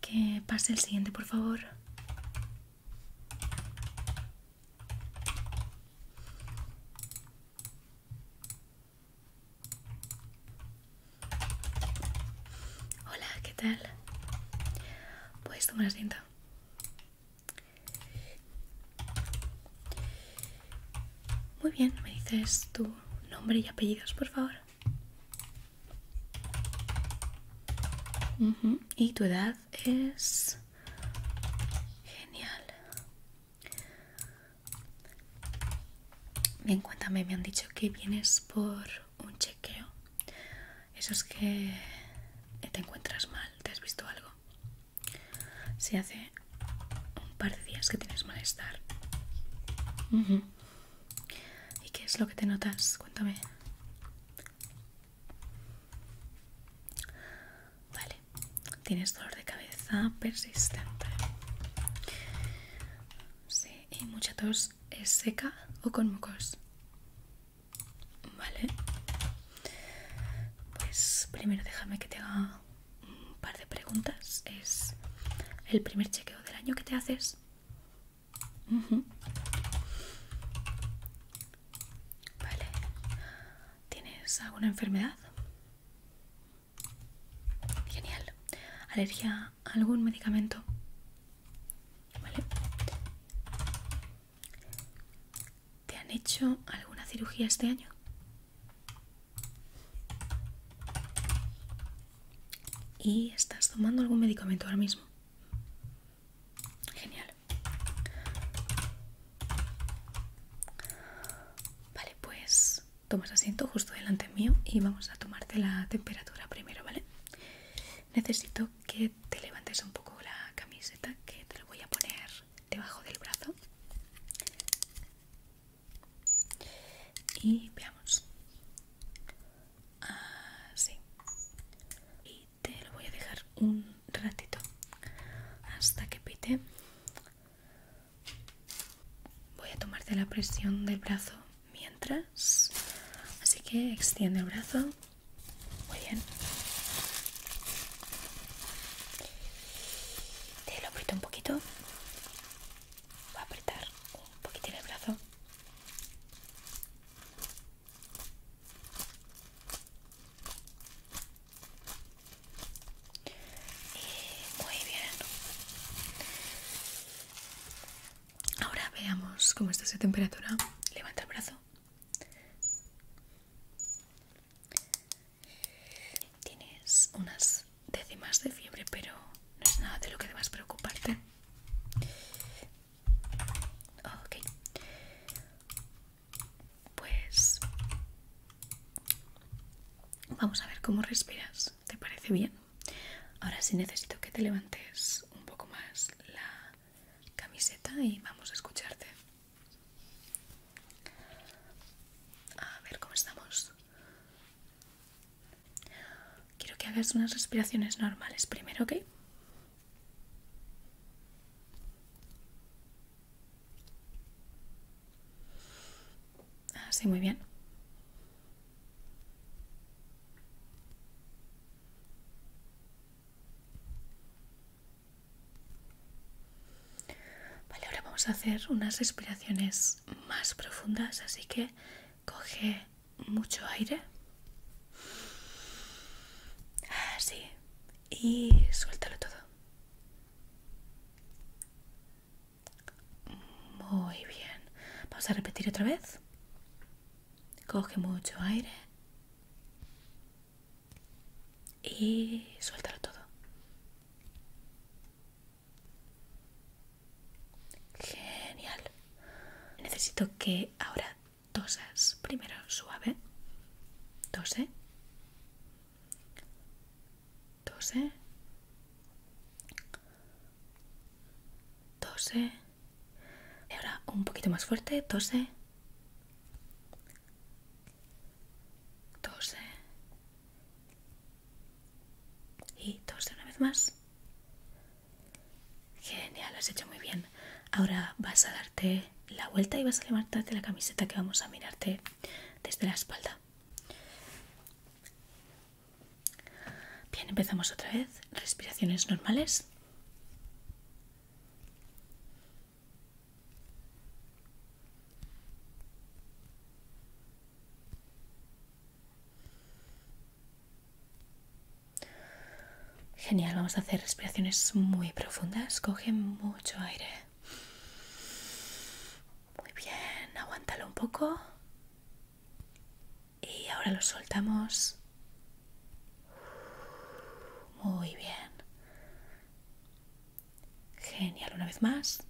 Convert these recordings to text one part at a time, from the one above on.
Que pase el siguiente, por favor. Hola, ¿qué tal? Puedes tomar asiento. Muy bien, me dices tu nombre y apellidos, por favor. Y tu edad es... Genial. Bien, cuéntame, me han dicho que vienes por un chequeo. Eso es que te encuentras mal, te has visto algo. Si hace un par de días que tienes malestar. ¿Y qué es lo que te notas? Cuéntame. Vale, tienes dolor de cabeza persistente. Sí, y mucha tos es seca o con mucos? Vale. Pues primero déjame que te haga un par de preguntas. Es el primer chequeo del año que te haces. Vale. ¿Tienes alguna enfermedad? Genial. ¿Alergia a algún medicamento? Vale. ¿Te han hecho alguna cirugía este año? ¿Y estás tomando algún medicamento ahora mismo? Genial. Vale, pues tomas asiento justo delante mío y vamos a tomarte la temperatura primero, ¿vale? Necesito que te levantes un poco la camiseta que te lo voy a poner debajo del brazo y veamos así y te lo voy a dejar un ratito hasta que pite voy a tomarte la presión del brazo mientras así que extiende el brazo muy bien. Te lo aprieto un poquito. Voy a apretar un poquitín el brazo. Y eh, muy bien. Ahora veamos cómo está su temperatura. Levanta el brazo. Tienes unas décimas de fiebre, pero no es nada de lo que debas preocuparte. Ok. Pues vamos a ver cómo respiras. ¿Te parece bien? Ahora sí necesito que te levantes un poco más la camiseta y vamos a escucharte. A ver cómo estamos. Quiero que hagas unas respiraciones normales primero, ¿ok? Así, ah, muy bien. Vale, ahora vamos a hacer unas respiraciones más profundas, así que coge mucho aire. Así. Y suéltalo todo. Muy bien. Vamos a repetir otra vez. Coge mucho aire y suéltalo todo. Genial. Necesito que ahora toses Primero suave. Tose. Tose. Tose. Y ahora un poquito más fuerte. Tose tose y tose una vez más. Genial, lo has hecho muy bien. Ahora vas a darte la vuelta y vas a levantarte la camiseta que vamos a mirarte desde la espalda. Bien, empezamos otra vez. Respiraciones normales. Genial, vamos a hacer respiraciones muy profundas. Coge mucho aire. Muy bien, aguántalo un poco. Y ahora lo soltamos muy bien. Genial, una vez más.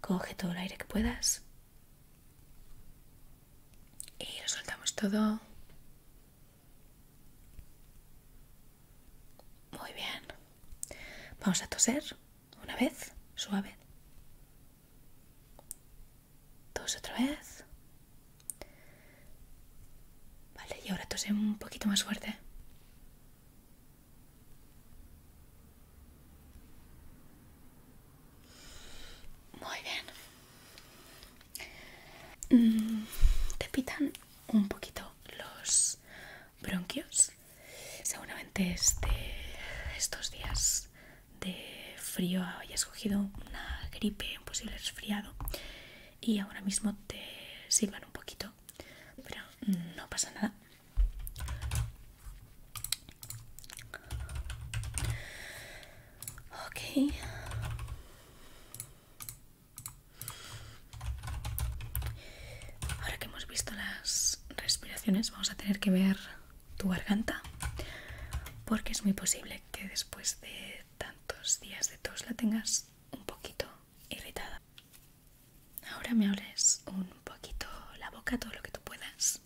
Coge todo el aire que puedas. Y lo soltamos todo. Muy bien. Vamos a toser una vez, suave. Tos otra vez. Vale, y ahora tose un poquito más fuerte. Muy bien. Mm, te pitan un poquito los bronquios. Seguramente este, estos días de frío hayas escogido una gripe, un posible resfriado y ahora mismo te sirvan un poquito, pero no pasa nada. Ok. Ahora que hemos visto las respiraciones, vamos a tener que ver tu garganta, porque es muy posible que después de tantos días de tos la tengas un poquito irritada. Ahora me abres un poquito la boca, todo lo que tú puedas.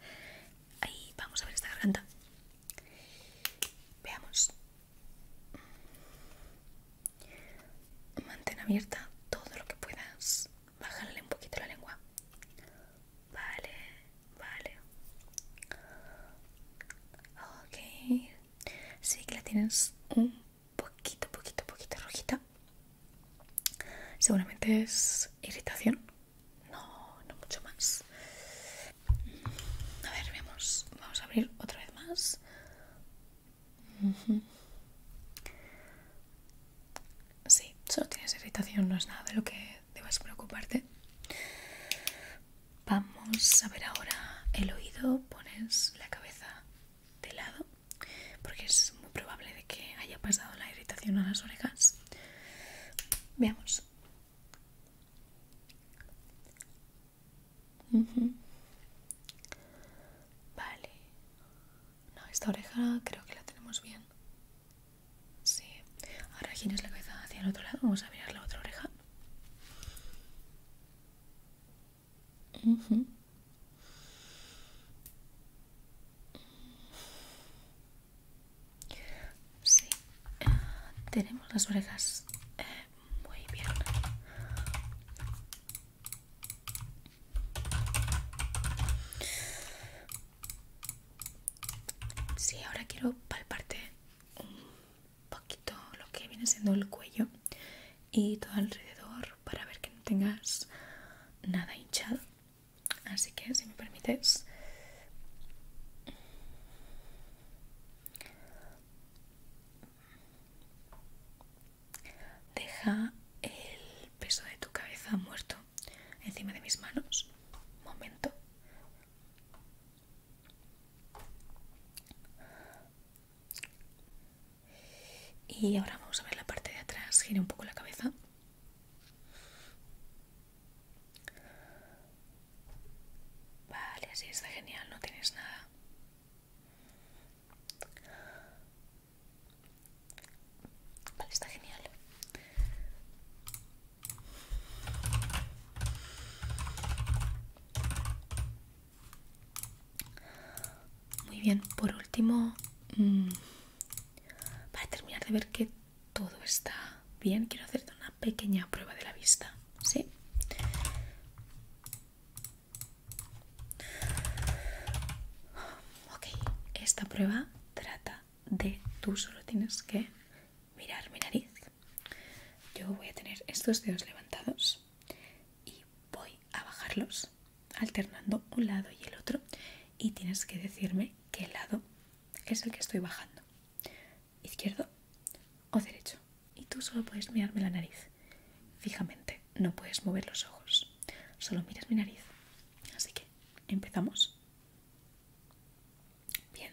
Ahí vamos a ver esta garganta. Veamos. Mantén abierta todo lo que puedas. Bájale un poquito la lengua. Vale, vale. Ok, sí que la tienes un poquito, poquito, poquito rojita. Seguramente es irritación, no, no mucho más. Mm, a ver, vemos vamos a abrir otra vez más. Sí, solo tienes irritación, no es nada de lo que debas preocuparte. Vamos a ver ahora el oído. Pones la cabeza de lado porque es muy probable de que haya pasado la irritación a las orejas. Veamos. Vale. No, esta oreja creo que la tenemos bien. Sí. Ahora giras la cabeza hacia el otro lado. Vamos a mirar la otra oreja. Sí, tenemos las orejas eh, muy bien. Sí, ahora quiero palparte poquito lo que viene siendo el cuello y todo alrededor para ver que no tengas nada hinchado así que si me permites deja el peso de tu cabeza muerto encima de mis manos momento y ahora vamos a ver la parte de atrás. Gira un poco la cabeza. Vale, así está genial, no tienes nada. Vale, está genial. Muy bien, por último, mm, para terminar de ver que todo está bien, quiero hacerte una pequeña prueba de la vista, ¿sí? esta prueba trata de tú solo tienes que mirar mi nariz. Yo voy a tener estos dedos levantados y voy a bajarlos alternando un lado y el otro y tienes que decirme qué lado es el que estoy bajando, izquierdo o derecho. Y tú solo puedes mirarme la nariz fijamente, no puedes mover los ojos, solo miras mi nariz. Así que empezamos. Bien,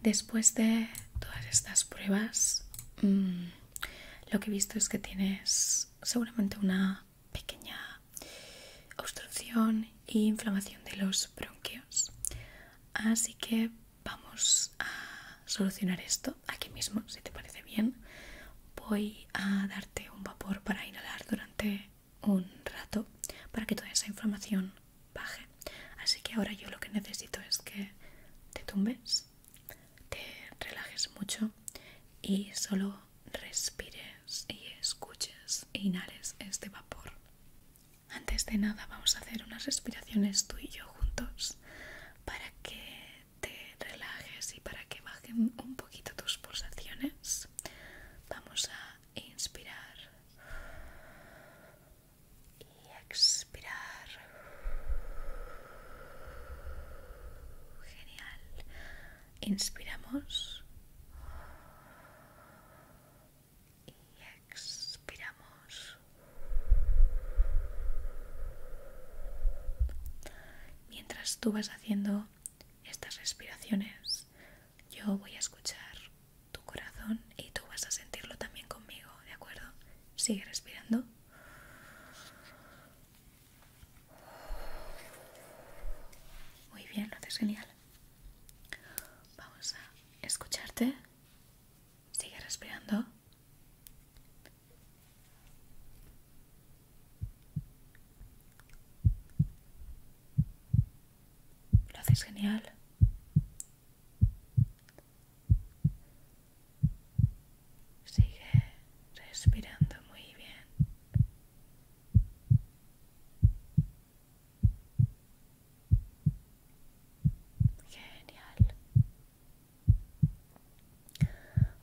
Después de todas estas pruebas, mm, lo que he visto es que tienes seguramente una pequeña obstrucción e inflamación de los bronquios. Así que vamos a solucionar esto aquí mismo, si te parece bien. Voy a darte un vapor para inhalar durante un rato para que toda esa información baje. Así que ahora yo lo que necesito es que te tumbes, te relajes mucho y solo respires y escuches e inhales este vapor. Antes de nada vamos a hacer unas respiraciones tú y yo juntos para que te relajes y para que bajen un poquito tus pulsaciones. Vamos a inspirar y expirar. Genial. Inspiramos y expiramos. Mientras tú vas haciendo estas respiraciones, yo voy a escuchar tu corazón y tú vas a sentirlo también conmigo, ¿de acuerdo? Sigue respirando. Muy bien, lo haces genial. Vamos a escucharte. Sigue respirando. Lo haces genial. Sigue respirando muy bien. Genial.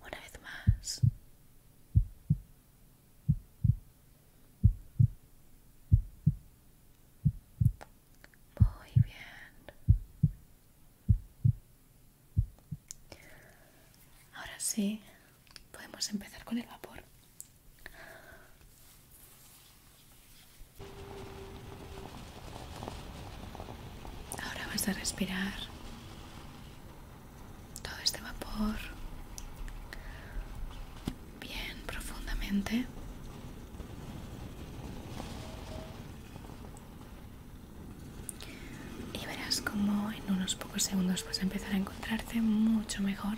Una vez más. Muy bien. Ahora sí, podemos empezar con el vapor. Ahora vas a respirar todo este vapor bien profundamente. Y verás como en unos pocos segundos vas a empezar a encontrarte mucho mejor.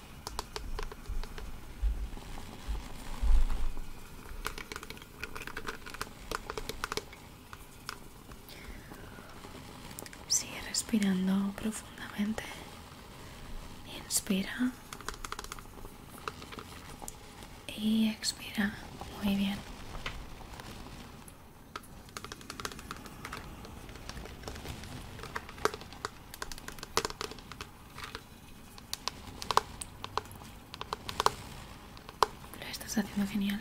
Sigue respirando profundamente. Inspira y expira. Muy bien. Lo estás haciendo genial.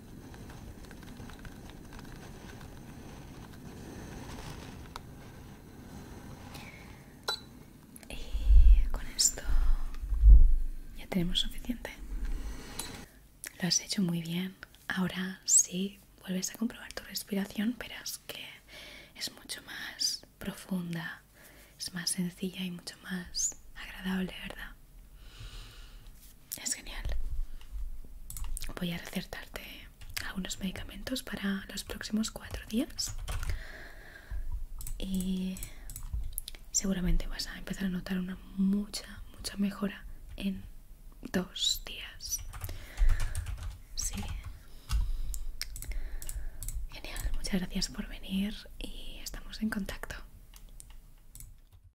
Y con esto ya tenemos suficiente. Lo has hecho muy bien. Ahora si vuelves a comprobar tu respiración, verás que es mucho más profunda, es más sencilla y mucho más agradable, ¿verdad? es genial. Voy a recetarte algunos medicamentos para los próximos cuatro días y seguramente vas a empezar a notar una mucha, mucha mejora en dos días. Sí. Genial, muchas gracias por venir y estamos en contacto.